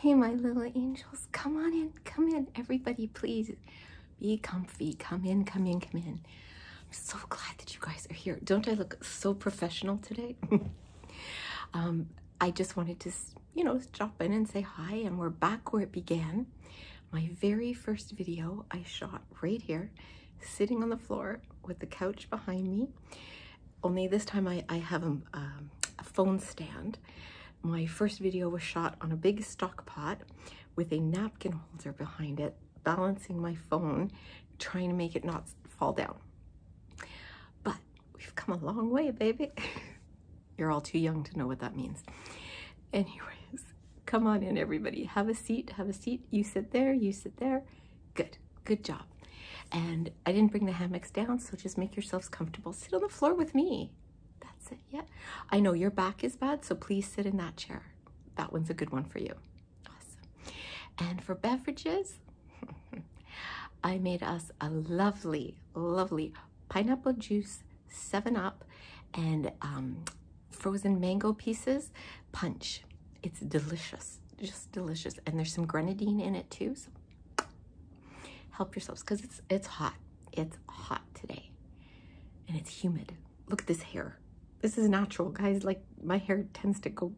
Hey, my little angels, come on in, come in. Everybody, please be comfy. Come in, come in, come in. I'm so glad that you guys are here. Don't I look so professional today? Um, I just wanted to, you know, drop in and say hi, and we're back where it began. My very first video I shot right here, sitting on the floor with the couch behind me only this time I, I have a, um, a phone stand. My first video was shot on a big stock pot with a napkin holder behind it, balancing my phone, trying to make it not fall down. But we've come a long way, baby. You're all too young to know what that means. Anyways, come on in, everybody. Have a seat, have a seat. You sit there, you sit there. Good. Good job. And I didn't bring the hammocks down, so just make yourselves comfortable. Sit on the floor with me. That's it, yeah. I know your back is bad, so please sit in that chair. That one's a good one for you. Awesome. And for beverages, I made us a lovely, lovely pineapple juice 7-Up and um, frozen mango pieces punch. It's delicious, just delicious. And there's some grenadine in it too, so Help yourselves because it's it's hot. It's hot today. And it's humid. Look at this hair. This is natural, guys. Like my hair tends to go.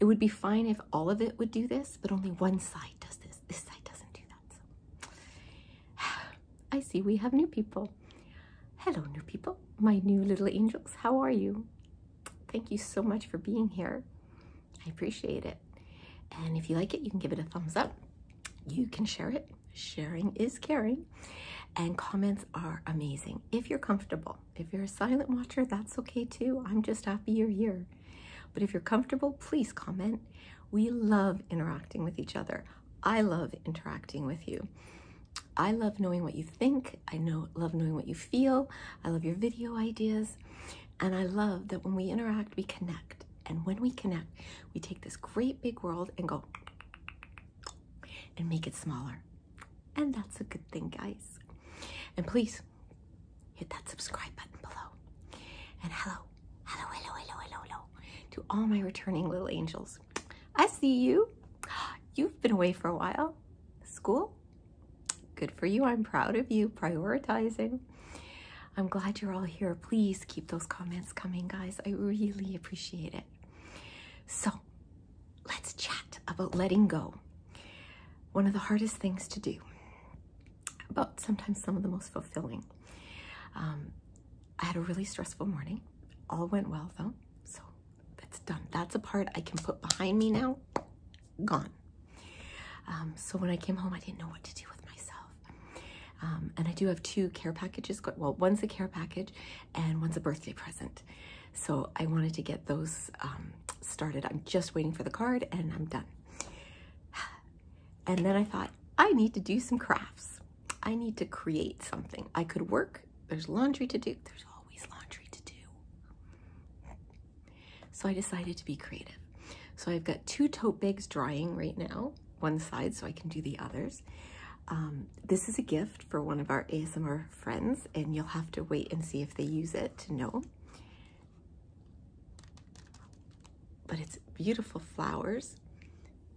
It would be fine if all of it would do this, but only one side does this. This side doesn't do that. So. I see we have new people. Hello, new people. My new little angels. How are you? Thank you so much for being here. I appreciate it. And if you like it, you can give it a thumbs up. You can share it. Sharing is caring. And comments are amazing if you're comfortable. If you're a silent watcher, that's okay too. I'm just happy you're here. But if you're comfortable, please comment. We love interacting with each other. I love interacting with you. I love knowing what you think. I know love knowing what you feel. I love your video ideas. And I love that when we interact, we connect. And when we connect, we take this great big world and go and make it smaller. And that's a good thing, guys. And please hit that subscribe button below. And hello, hello, hello, hello, hello, hello to all my returning little angels. I see you. You've been away for a while. School, Good for you. I'm proud of you prioritizing. I'm glad you're all here. Please keep those comments coming, guys. I really appreciate it. So, let's chat about letting go. One of the hardest things to do, but sometimes some of the most fulfilling. Um, I had a really stressful morning. All went well though, so that's done. That's a part I can put behind me now gone. Um, so when I came home, I didn't know what to do with myself. Um, and I do have two care packages. Well, one's a care package and one's a birthday present. So I wanted to get those um, started. I'm just waiting for the card and I'm done. And then I thought, I need to do some crafts. I need to create something. I could work. There's laundry to do. There's always laundry to do. So I decided to be creative. So I've got two tote bags drying right now, one side so I can do the others. Um, this is a gift for one of our ASMR friends and you'll have to wait and see if they use it to know. But it's beautiful flowers.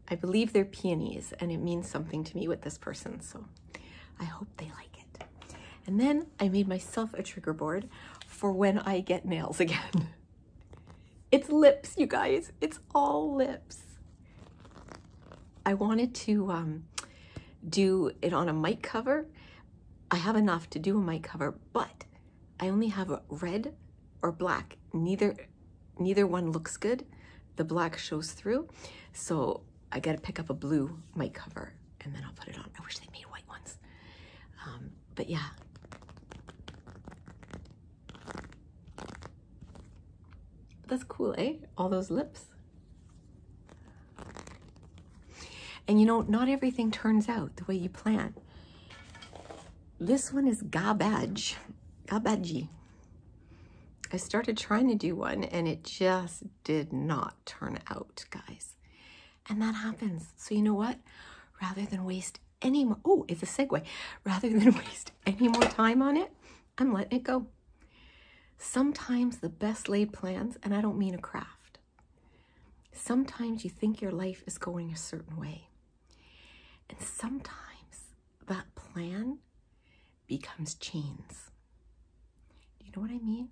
I believe they're peonies and it means something to me with this person. So I hope they like and then I made myself a trigger board for when I get nails again. it's lips, you guys. It's all lips. I wanted to um, do it on a mic cover. I have enough to do a mic cover, but I only have red or black. Neither, neither one looks good. The black shows through. So I gotta pick up a blue mic cover and then I'll put it on. I wish they made white ones. Um, but yeah. That's cool, eh? All those lips. And you know, not everything turns out the way you plan. This one is garbage, garbagey. I started trying to do one and it just did not turn out, guys. And that happens. So you know what? Rather than waste any more, oh, it's a segue. Rather than waste any more time on it, I'm letting it go. Sometimes the best laid plans, and I don't mean a craft. Sometimes you think your life is going a certain way. And sometimes that plan becomes chains. you know what I mean?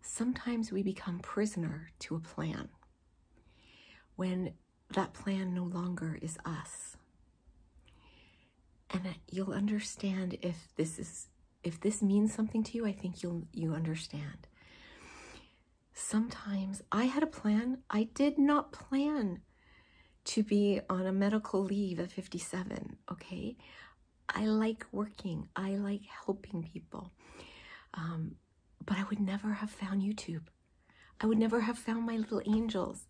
Sometimes we become prisoner to a plan when that plan no longer is us. And you'll understand if this is if this means something to you, I think you'll you understand. Sometimes I had a plan. I did not plan to be on a medical leave at 57, okay? I like working, I like helping people. Um, but I would never have found YouTube. I would never have found my little angels.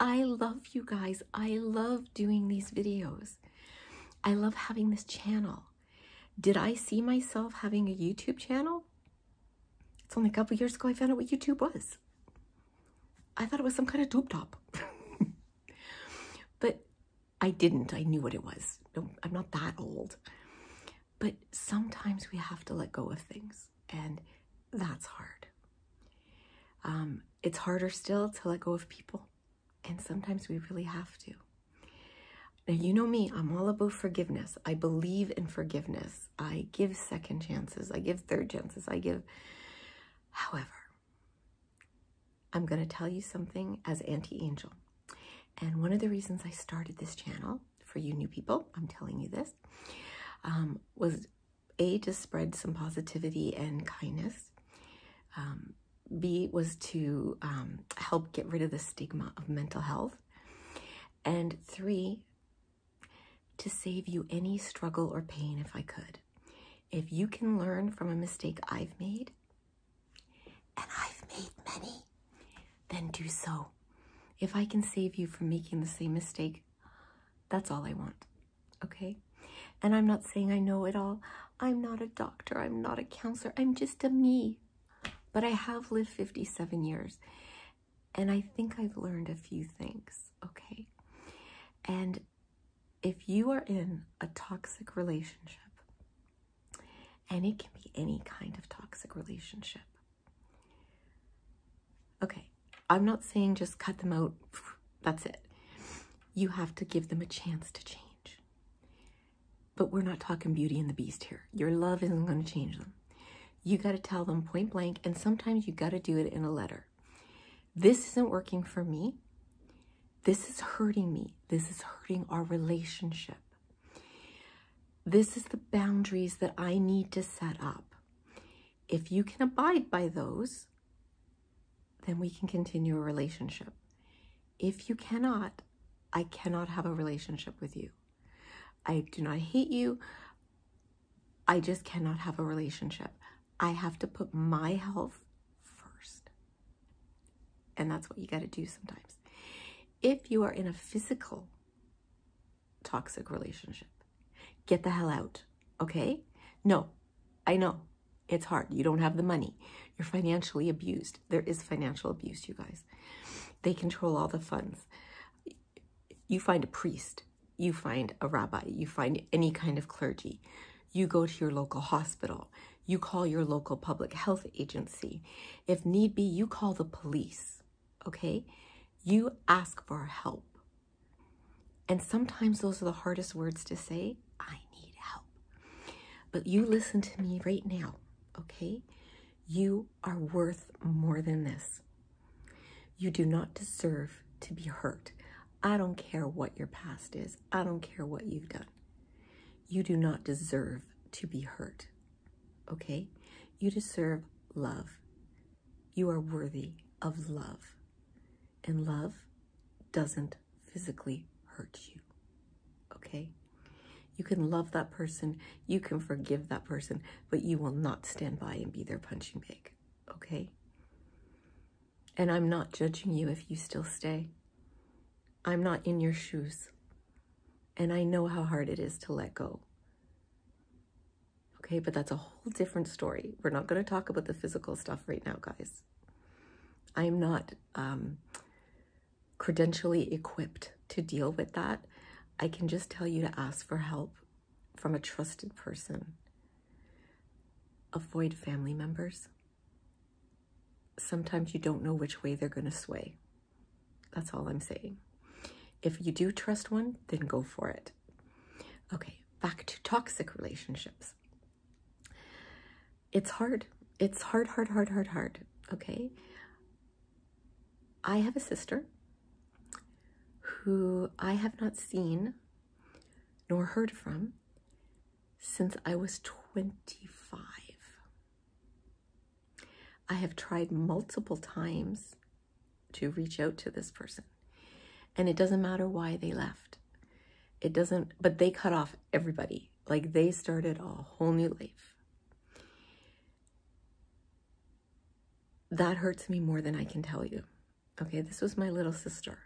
I love you guys. I love doing these videos. I love having this channel. Did I see myself having a YouTube channel? It's only a couple years ago I found out what YouTube was. I thought it was some kind of doop top. but I didn't. I knew what it was. I'm not that old. But sometimes we have to let go of things, and that's hard. Um, it's harder still to let go of people, and sometimes we really have to. Now, you know me, I'm all about forgiveness. I believe in forgiveness. I give second chances, I give third chances, I give. However, I'm going to tell you something as Anti Angel. And one of the reasons I started this channel, for you new people, I'm telling you this, um, was A, to spread some positivity and kindness. Um, B, was to um, help get rid of the stigma of mental health. And three, to save you any struggle or pain if I could if you can learn from a mistake I've made, and I've made many, then do so. If I can save you from making the same mistake, that's all I want, okay? And I'm not saying I know it all. I'm not a doctor. I'm not a counselor. I'm just a me. But I have lived 57 years, and I think I've learned a few things, okay? And if you are in a toxic relationship, and it can be any kind of toxic relationship, okay, I'm not saying just cut them out, that's it. You have to give them a chance to change. But we're not talking Beauty and the Beast here. Your love isn't going to change them. You got to tell them point blank, and sometimes you got to do it in a letter. This isn't working for me. This is hurting me. This is hurting our relationship. This is the boundaries that I need to set up. If you can abide by those, then we can continue a relationship. If you cannot, I cannot have a relationship with you. I do not hate you. I just cannot have a relationship. I have to put my health first. And that's what you got to do sometimes. If you are in a physical toxic relationship, get the hell out, okay? No, I know it's hard. You don't have the money. You're financially abused. There is financial abuse, you guys. They control all the funds. You find a priest you find a rabbi, you find any kind of clergy, you go to your local hospital, you call your local public health agency. If need be, you call the police, okay? You ask for help. And sometimes those are the hardest words to say I need help. But you listen to me right now, okay? You are worth more than this. You do not deserve to be hurt. I don't care what your past is. I don't care what you've done. You do not deserve to be hurt. Okay? You deserve love. You are worthy of love. And love doesn't physically hurt you. Okay? You can love that person, you can forgive that person, but you will not stand by and be their punching bag. Okay? And I'm not judging you if you still stay. I'm not in your shoes. And I know how hard it is to let go. Okay, but that's a whole different story. We're not going to talk about the physical stuff right now, guys. I'm not um, credentially equipped to deal with that. I can just tell you to ask for help from a trusted person. Avoid family members. Sometimes you don't know which way they're going to sway. That's all I'm saying. If you do trust one, then go for it. Okay, back to toxic relationships. It's hard. It's hard, hard, hard, hard, hard. Okay. I have a sister who I have not seen nor heard from since I was 25. I have tried multiple times to reach out to this person, and it doesn't matter why they left. It doesn't, but they cut off everybody. Like they started a whole new life. That hurts me more than I can tell you. Okay, this was my little sister.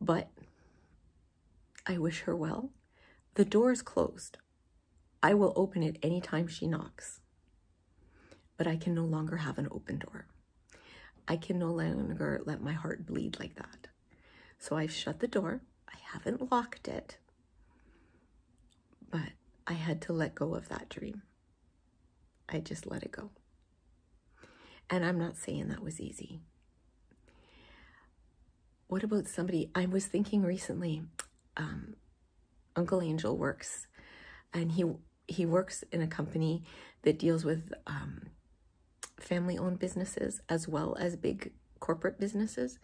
But I wish her well. The door is closed. I will open it anytime she knocks. But I can no longer have an open door. I can no longer let my heart bleed like that. So I've shut the door. I haven't locked it. But I had to let go of that dream. I just let it go. And I'm not saying that was easy. What about somebody? I was thinking recently, um, Uncle Angel works, and he he works in a company that deals with um, family-owned businesses as well as big corporate businesses.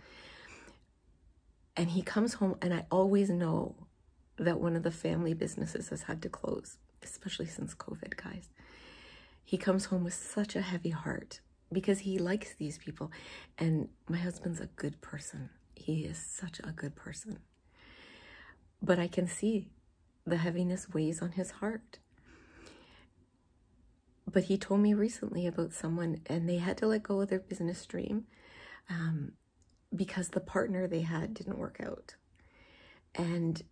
And he comes home, and I always know that one of the family businesses has had to close, especially since COVID, guys. He comes home with such a heavy heart because he likes these people. And my husband's a good person. He is such a good person. But I can see the heaviness weighs on his heart. But he told me recently about someone and they had to let go of their business dream. Um, because the partner they had didn't work out. And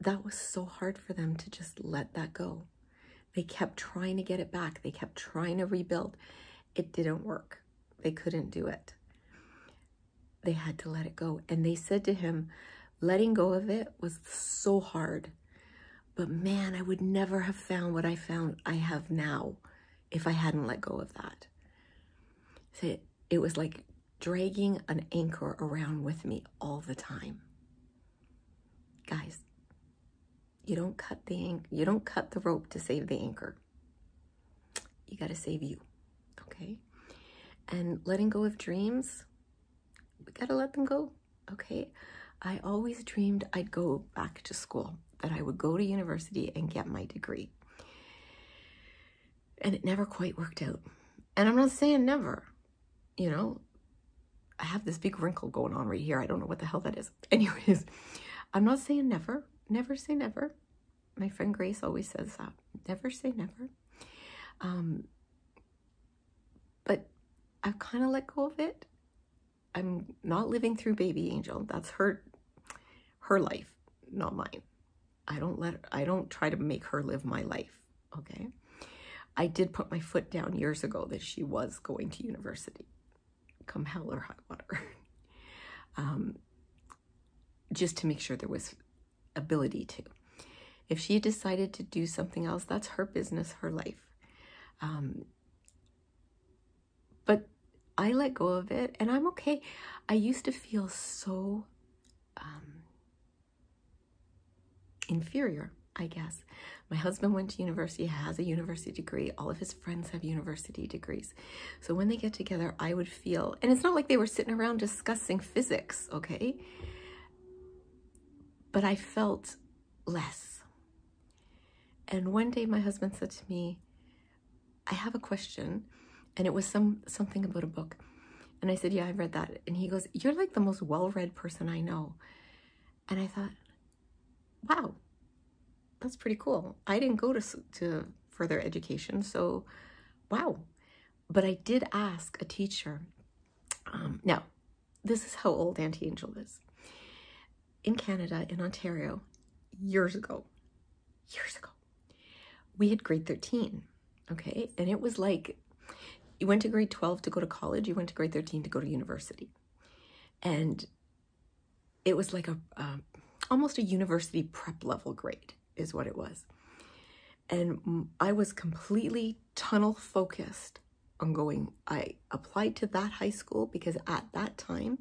that was so hard for them to just let that go. They kept trying to get it back. They kept trying to rebuild. It didn't work. They couldn't do it. They had to let it go. And they said to him, letting go of it was so hard. But man, I would never have found what I found I have now if I hadn't let go of that. It, it was like dragging an anchor around with me all the time. Guys, you don't cut the you don't cut the rope to save the anchor. You got to save you, okay? And letting go of dreams, we got to let them go, okay? I always dreamed I'd go back to school that I would go to university and get my degree. And it never quite worked out. And I'm not saying never, you know, I have this big wrinkle going on right here. I don't know what the hell that is. Anyways, I'm not saying never, never say never. My friend Grace always says that. Never say never. Um, but I've kind of let go of it. I'm not living through Baby Angel. That's her her life, not mine. I don't let I don't try to make her live my life, okay? I did put my foot down years ago that she was going to university, come hell or high water. Um, just to make sure there was ability to. If she decided to do something else, that's her business, her life. Um, but I let go of it and I'm okay. I used to feel so um, inferior, I guess. My husband went to university, has a university degree. All of his friends have university degrees. So when they get together, I would feel, and it's not like they were sitting around discussing physics, okay? But I felt less. And one day my husband said to me, I have a question. And it was some something about a book. And I said, Yeah, I have read that. And he goes, You're like the most well read person I know. And I thought, Wow, that's pretty cool. I didn't go to, to further education, so wow. But I did ask a teacher. Um, now, this is how old Auntie Angel is in Canada, in Ontario, years ago, years ago, we had grade 13, okay? And it was like, you went to grade 12 to go to college, you went to grade 13 to go to university. And it was like a, almost a university prep level grade is what it was. And I was completely tunnel focused on going, I applied to that high school because at that time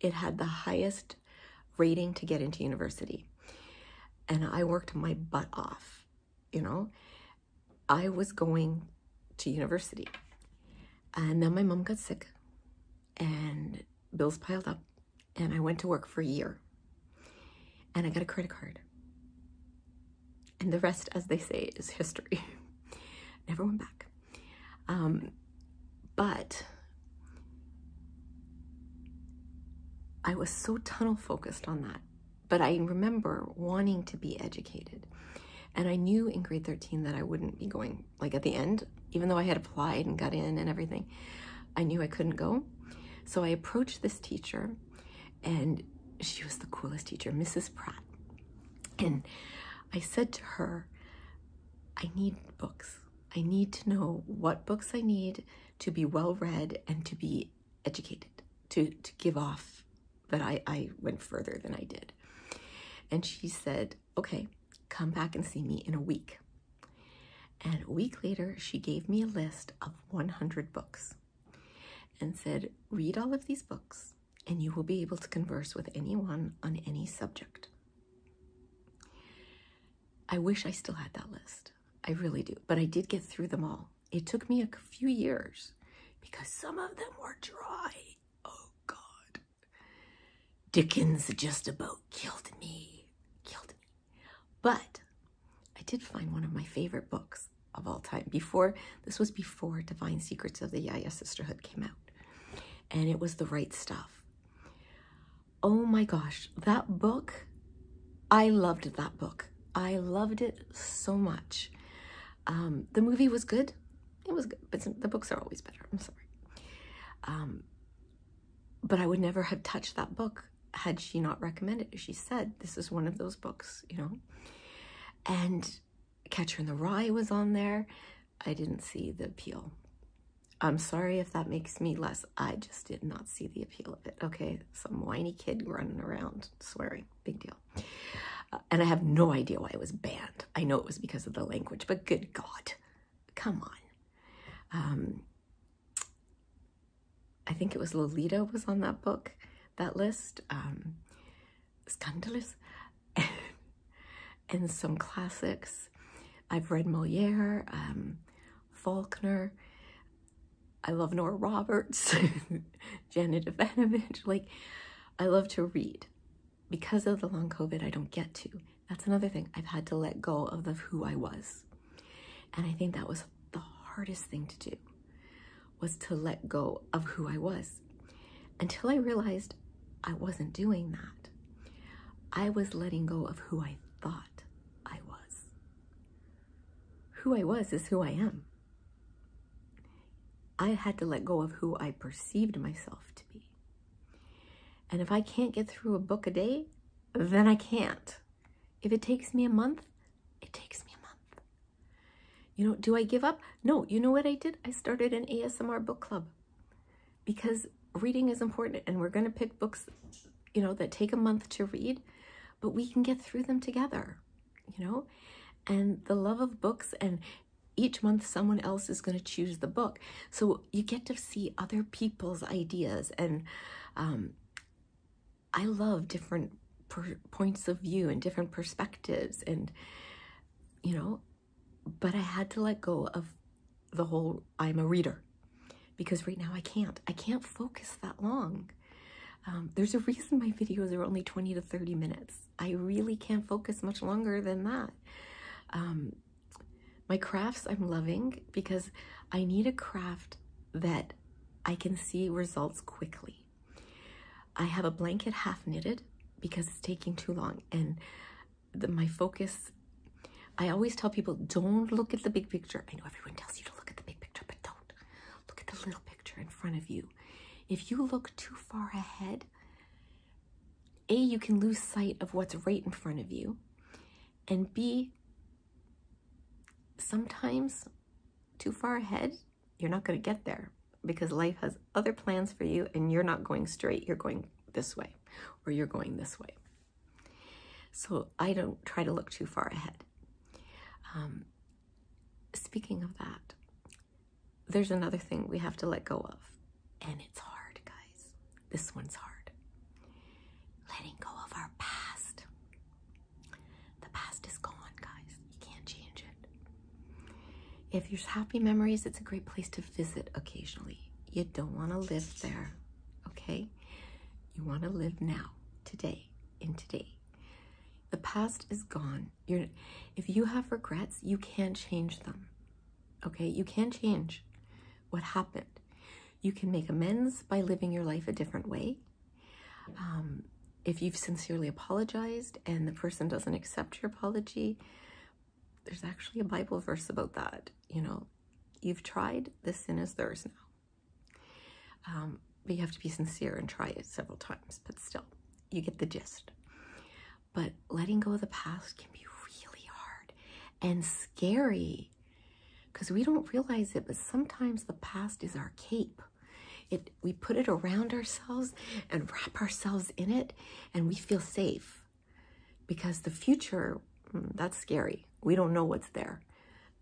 it had the highest rating to get into university. And I worked my butt off, you know. I was going to university. And then my mom got sick and bills piled up and I went to work for a year. And I got a credit card. And the rest, as they say, is history. Never went back. Um, but I was so tunnel focused on that. But I remember wanting to be educated. And I knew in grade 13 that I wouldn't be going, like at the end, even though I had applied and got in and everything, I knew I couldn't go. So I approached this teacher, and she was the coolest teacher, Mrs. Pratt. And I said to her, I need books. I need to know what books I need to be well read and to be educated, to, to give off that I, I went further than I did. And she said, okay, come back and see me in a week. And a week later, she gave me a list of 100 books and said, read all of these books and you will be able to converse with anyone on any subject. I wish I still had that list. I really do. But I did get through them all. It took me a few years because some of them were dry. Oh, God. Dickens just about killed me. Killed me. But I did find one of my favorite books of all time. Before, this was before Divine Secrets of the Yaya Sisterhood came out and it was the right stuff. Oh my gosh, that book, I loved that book. I loved it so much. Um, the movie was good. It was good, but the books are always better. I'm sorry. Um, but I would never have touched that book had she not recommended it. She said, this is one of those books, you know? And Catcher in the Rye was on there. I didn't see the appeal. I'm sorry if that makes me less. I just did not see the appeal of it. Okay, some whiny kid running around swearing. Big deal. Uh, and I have no idea why it was banned. I know it was because of the language, but good God. Come on. Um, I think it was Lolita was on that book, that list. Um, scandalous and some classics. I've read Moliere, um, Faulkner. I love Nora Roberts, Janet Evanovich. Like, I love to read. Because of the long COVID, I don't get to. That's another thing. I've had to let go of the, who I was. And I think that was the hardest thing to do, was to let go of who I was until I realized I wasn't doing that. I was letting go of who I thought I was. Who I was is who I am. I had to let go of who I perceived myself to be. And if I can't get through a book a day, then I can't. If it takes me a month, it takes me a month. You know, do I give up? No, you know what I did? I started an ASMR book club because reading is important and we're going to pick books, you know, that take a month to read, but we can get through them together, you know? And the love of books and each month someone else is going to choose the book. So you get to see other people's ideas and um, I love different points of view and different perspectives and you know, but I had to let go of the whole I'm a reader because right now I can't. I can't focus that long. Um, there's a reason my videos are only 20 to 30 minutes. I really can't focus much longer than that. Um, my crafts I'm loving because I need a craft that I can see results quickly. I have a blanket half knitted because it's taking too long and my focus, I always tell people don't look at the big picture. I know everyone tells you to look at the big picture, but don't. Look at the little picture in front of you. If you look too far ahead, A, you can lose sight of what's right in front of you, and B, sometimes too far ahead you're not going to get there because life has other plans for you and you're not going straight. You're going this way or you're going this way. So I don't try to look too far ahead. Um, speaking of that, there's another thing we have to let go of, and it's hard, guys. This one's hard. Letting go of our past. The past is gone, guys. You can't change it. If there's happy memories, it's a great place to visit occasionally. You don't want to live there, okay? You want to live now, today, in today. The past is gone. if you have regrets, you can't change them, okay? You can't change what happened. You can make amends by living your life a different way. Um, if you've sincerely apologized and the person doesn't accept your apology, there's actually a Bible verse about that. You know, you've tried, the sin is theirs now. Um, but you have to be sincere and try it several times, but still, you get the gist. But letting go of the past can be really hard and scary because we don't realize it, but sometimes the past is our cape we put it around ourselves and wrap ourselves in it, and we feel safe because the future, mm, that's scary. We don't know what's there.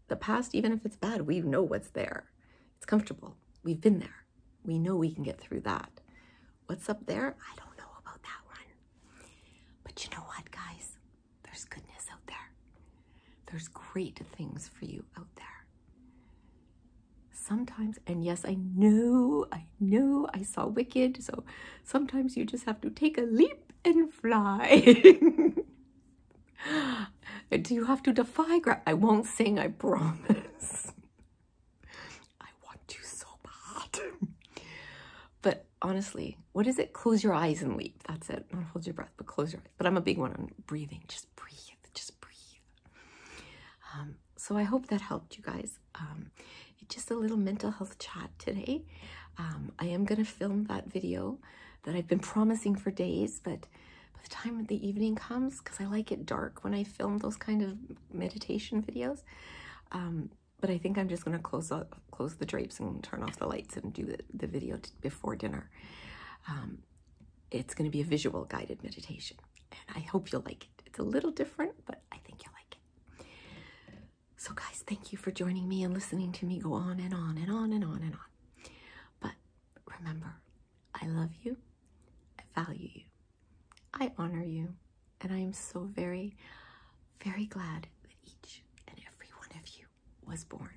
The past, even if it's bad, we know what's there. It's comfortable. We've been there. We know we can get through that. What's up there? I don't know about that one. But you know what, guys? There's goodness out there. There's great things for you out there sometimes, and yes, I know, I know I saw Wicked, so sometimes you just have to take a leap and fly. Do you have to defy gravity? I won't sing, I promise. I want to so bad. but honestly, what is it? Close your eyes and leap. That's it. Not hold your breath, but close your eyes. But I'm a big one on breathing. Just breathe. Just breathe. Um, so I hope that helped you guys. Um, just a little mental health chat today. Um, I am going to film that video that I've been promising for days, but by the time the evening comes, because I like it dark when I film those kind of meditation videos, um, but I think I'm just going to close up, close the drapes and turn off the lights and do the, video before dinner it's going to be a visual guided meditation. And I hope you'll like it. It's a little different, but I think you'll like it. So, guys, thank you for joining me and listening to me go on and on and on and on and on. But remember, I love you, I value you, I honor you, and I am so very, very glad that each and every one of you was born.